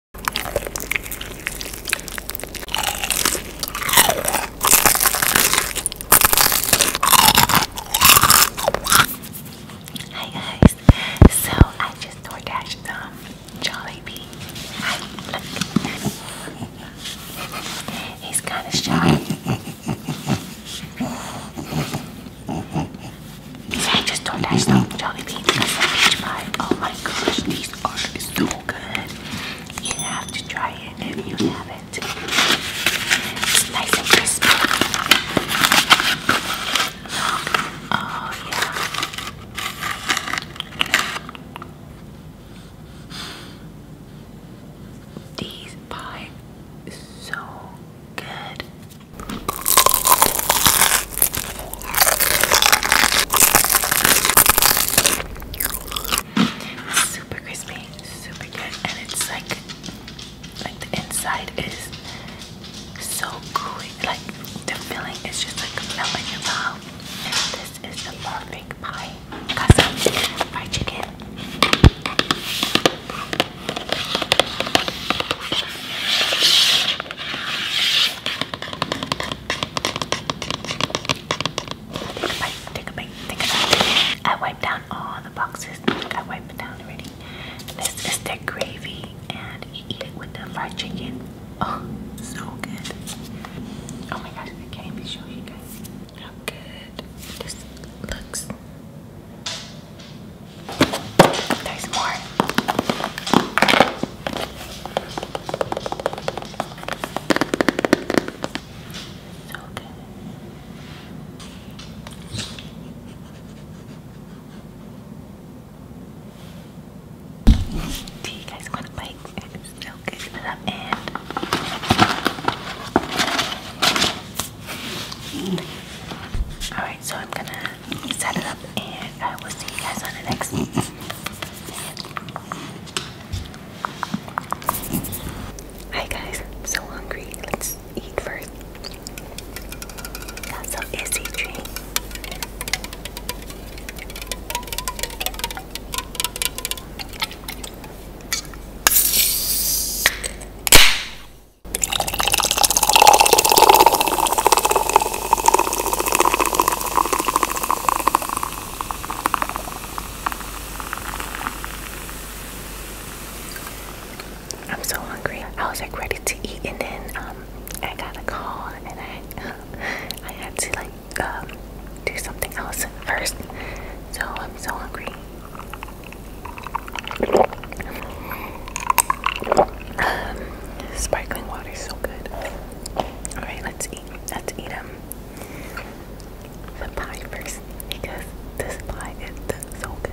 Hi guys, so I just door dashed um Jollibee. Hi, look. He's kind of shy. So I just door dashed um Jollibee. That's a peach pie. Oh my gosh, these are so good. You have to try it and you mm-hmm. have it. It's nice and crispy. Oh yeah. These pie is so good. Super crispy, super good, and it's like like the inside is so gooey, like the filling is just like melting your mouth. And This is the perfect pie. Cause I'm some fried chicken. Take a bite, take a bite, take a bite. I wiped down all the boxes. I wiped it down already. This is their gravy, and you eat it with the fried chicken. Oh, so good. Oh my gosh, I can't even show you guys how good this looks. There's more. Do you guys want to bite? so good for that end. Alright, so I'm gonna set it up and I will see you guys on the next one. Hi guys, so hungry. Let's eat first. Got some easy drink. I'm so hungry. I was like ready to eat, and then um, I got a call, and I I had to like um, do something else first. So I'm so hungry. Um, sparkling water is so good. All right, let's eat. Let's eat them. Um, the pie first because this pie is so good.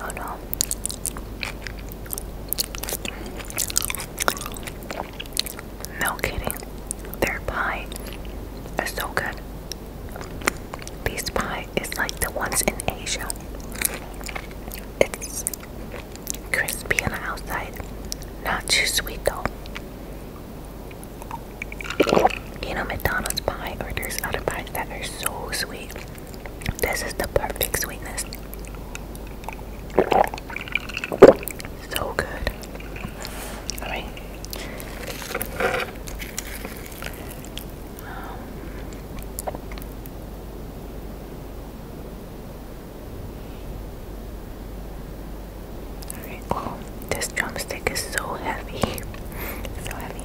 Oh no. No kidding. Their pie is so good. Peace pie is like the ones in Asia. It's crispy on the outside, not too sweet though. You know, McDonald's pie or there's other pies that are so sweet. This is the perfect sweetness. So good. All right. Oh, this drumstick is so heavy. so heavy.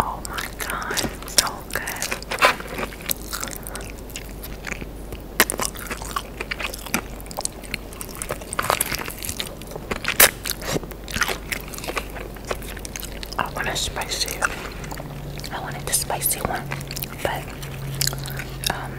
Oh my god, so good. I want a spicy. I wanted the spicy one, but um,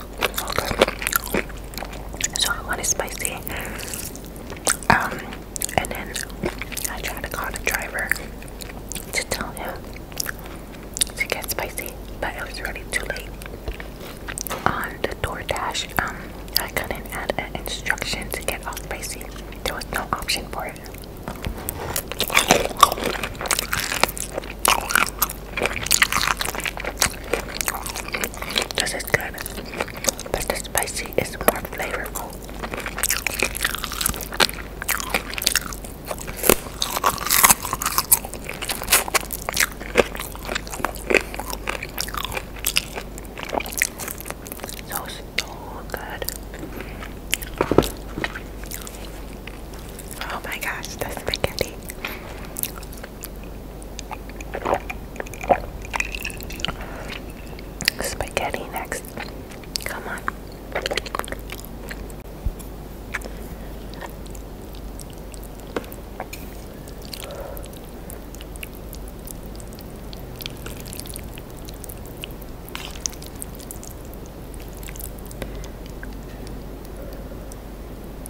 So I wanted spicy. Um, and then I tried to call the driver to tell him to get spicy, but it was already too late. On the DoorDash, um, I couldn't add an instruction to get spicy. There was no option for it. This is good, but the spicy is more flavorful. So, so good. Oh my gosh, that's spaghetti. Spaghetti next. Come on.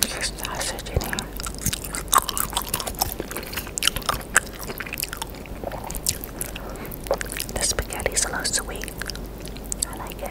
There's sausage in here. The spaghetti's a little sweet. I like it.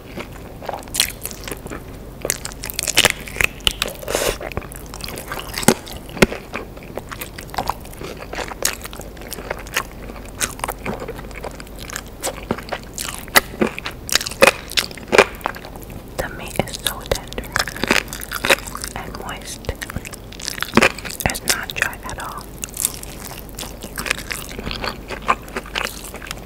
The meat is so tender and moist. It's not dry at all.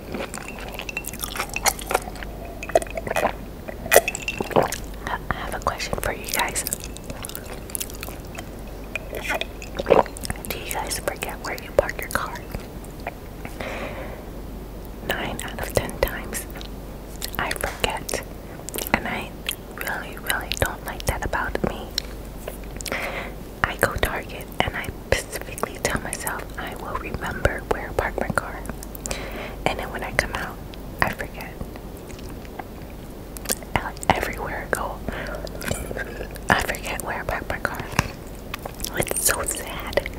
I have a question for you guys. Do you guys forget where you park your car? Nine out of ten times, I forget, and I really, really don't like that about me. I go Target and I specifically tell myself I will remember where I parked my car. And then when I come out, I forget. Everywhere I go, I forget where I parked my car. It's so sad.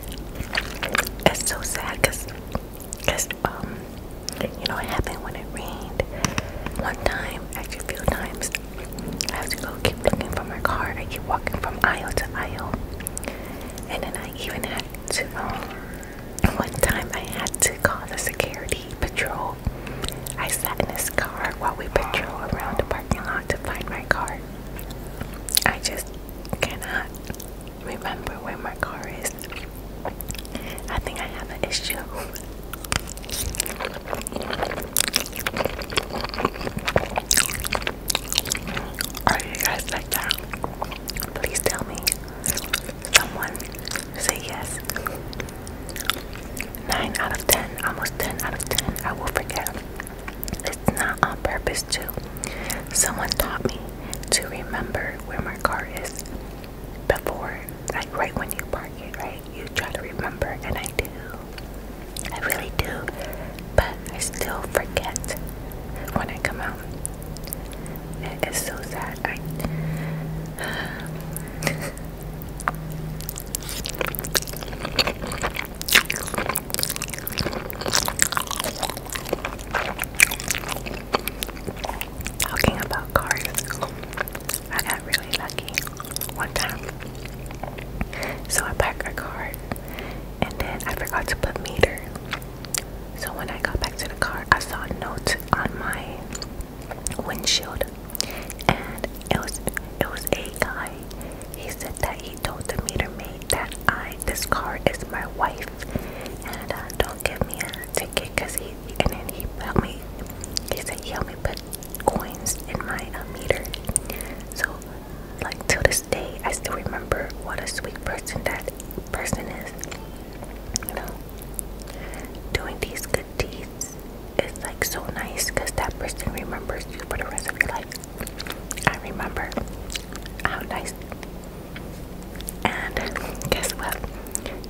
It's so sad because, cause, um, you know, what happened when it rained one time, actually a few times, I have to go keep looking for my car. I keep walking from aisle to aisle. And then I even had to, um, one time I had to call the security patrol. I sat in this car while we patrol around the parking lot to find my car. I just cannot remember where my car is. I think I have an issue. Are you guys like that? Please tell me. Someone say yes. 9 out of 10, almost 10 out of 10. I will forget. It's not on purpose, too. Someone taught me to remember where my car is before, like right when you park it, right? You try to remember, and I do. I really do, but I still forget when I come out. It is so sad. I Talking about cars, I got really lucky one time. So I parked a car and then I forgot to put meter. So when I got back to the car, I saw a note on my windshield, and it was it was a guy. He said that he told the meter maid that I this car is my wife, and uh, don't give me a ticket because he and then he helped me. He said he helped me put coins in my uh, meter. So like to this day I still remember what a sweet person that person is. You know, doing these good deeds is like so nice because that person remembers you for the rest of your life. I remember how nice. And guess what?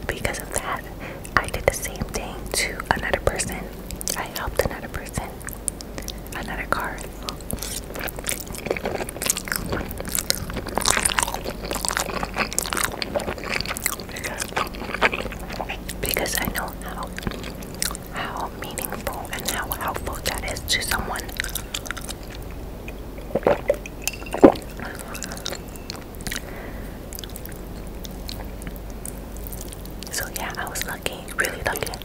Because of that, I did the same thing to another person. I helped another person. Another card. Because I know how how meaningful and how helpful that is to someone. So yeah, I was lucky, really lucky.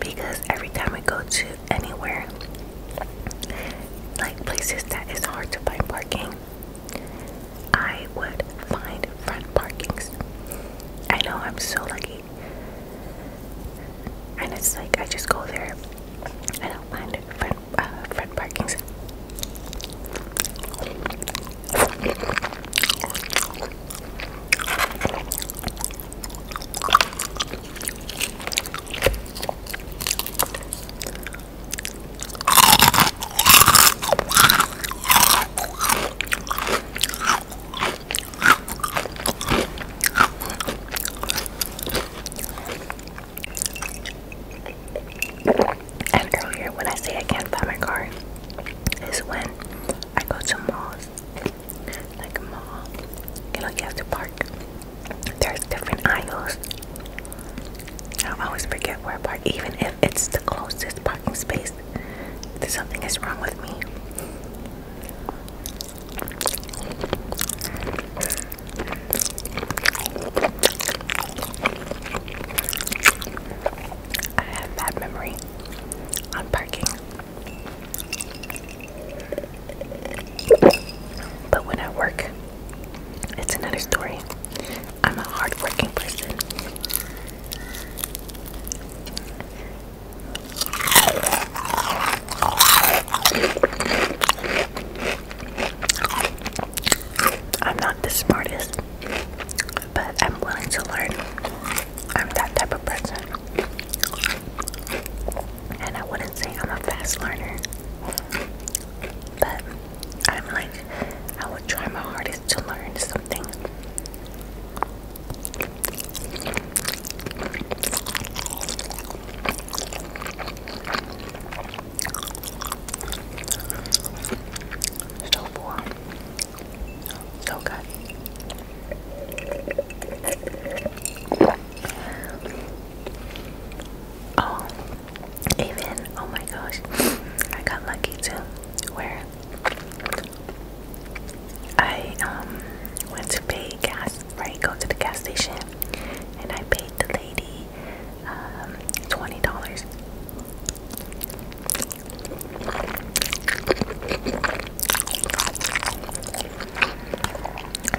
because every time I go to anywhere, like places that is hard to find parking, I would find front parkings. I know I'm so lucky, and it's like I just go there. and I find not front uh, front parkings. And earlier, when I say I can't find my car, is when I go to malls, like a mall, you know, you have to park. There's different aisles. I always forget where I park, even if it's the closest parking space. There's something is wrong with me. I have bad memory on parking. But when I work, it's another story. I'm a hardworking person. I'm not the smartest but I'm willing to learn. I'm that type of person. And I wouldn't say I'm a fast learner, but I'm like, I would try my hardest to learn something. So for so good. Oh, even oh my gosh, I got lucky too. Where I um, went to pay gas, right? Go to the gas station, and I paid the lady um, twenty dollars.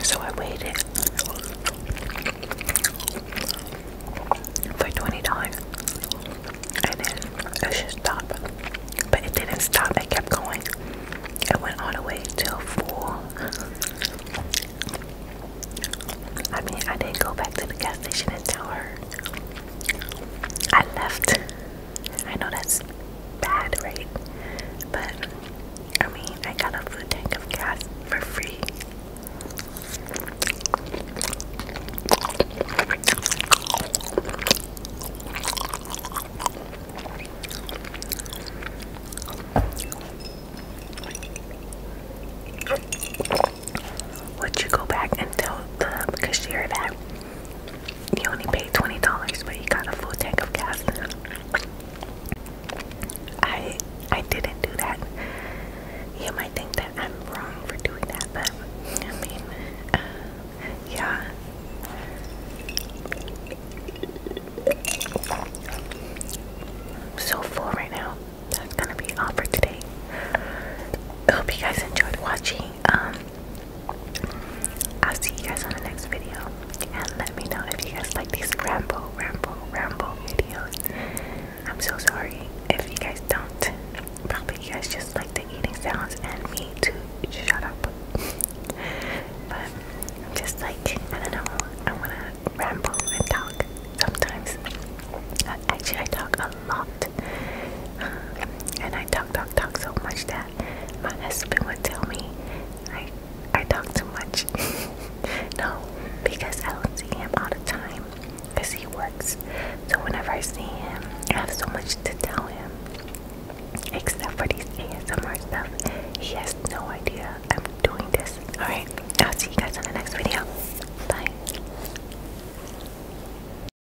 So I waited for 20 times, and then I should stop. But it didn't stop, it kept going. It went all the way till four. I mean I didn't go back to the gas station and tell her. I left. I know that's bad, right? But I mean, I got a food tank of gas for free. Would you go back and tell the cashier that he only paid twenty dollars, but he got a full tank of gas. I I didn't do that. You might think that I'm wrong for doing that, but I mean, uh, yeah. I'm so full right now. That's gonna be all for today. I hope you guys enjoyed watching. Um, I'll see you guys on the next video. And let me know if you guys like these ramble, ramble, ramble videos. I'm so sorry if you guys don't. Probably you guys just like the eating sounds and me too. Shut up. but I'm just like, I don't know, I wanna ramble and talk sometimes. Uh, actually, I talk a a lot. And I talk, talk, talk so much that my husband would tell me I, I talk too much. no, because I don't see him all the time because he works. So whenever I see him, I have so much to tell him. Except for these ASMR stuff, he has no idea I'm doing this. Alright, I'll see you guys in the next video. Bye.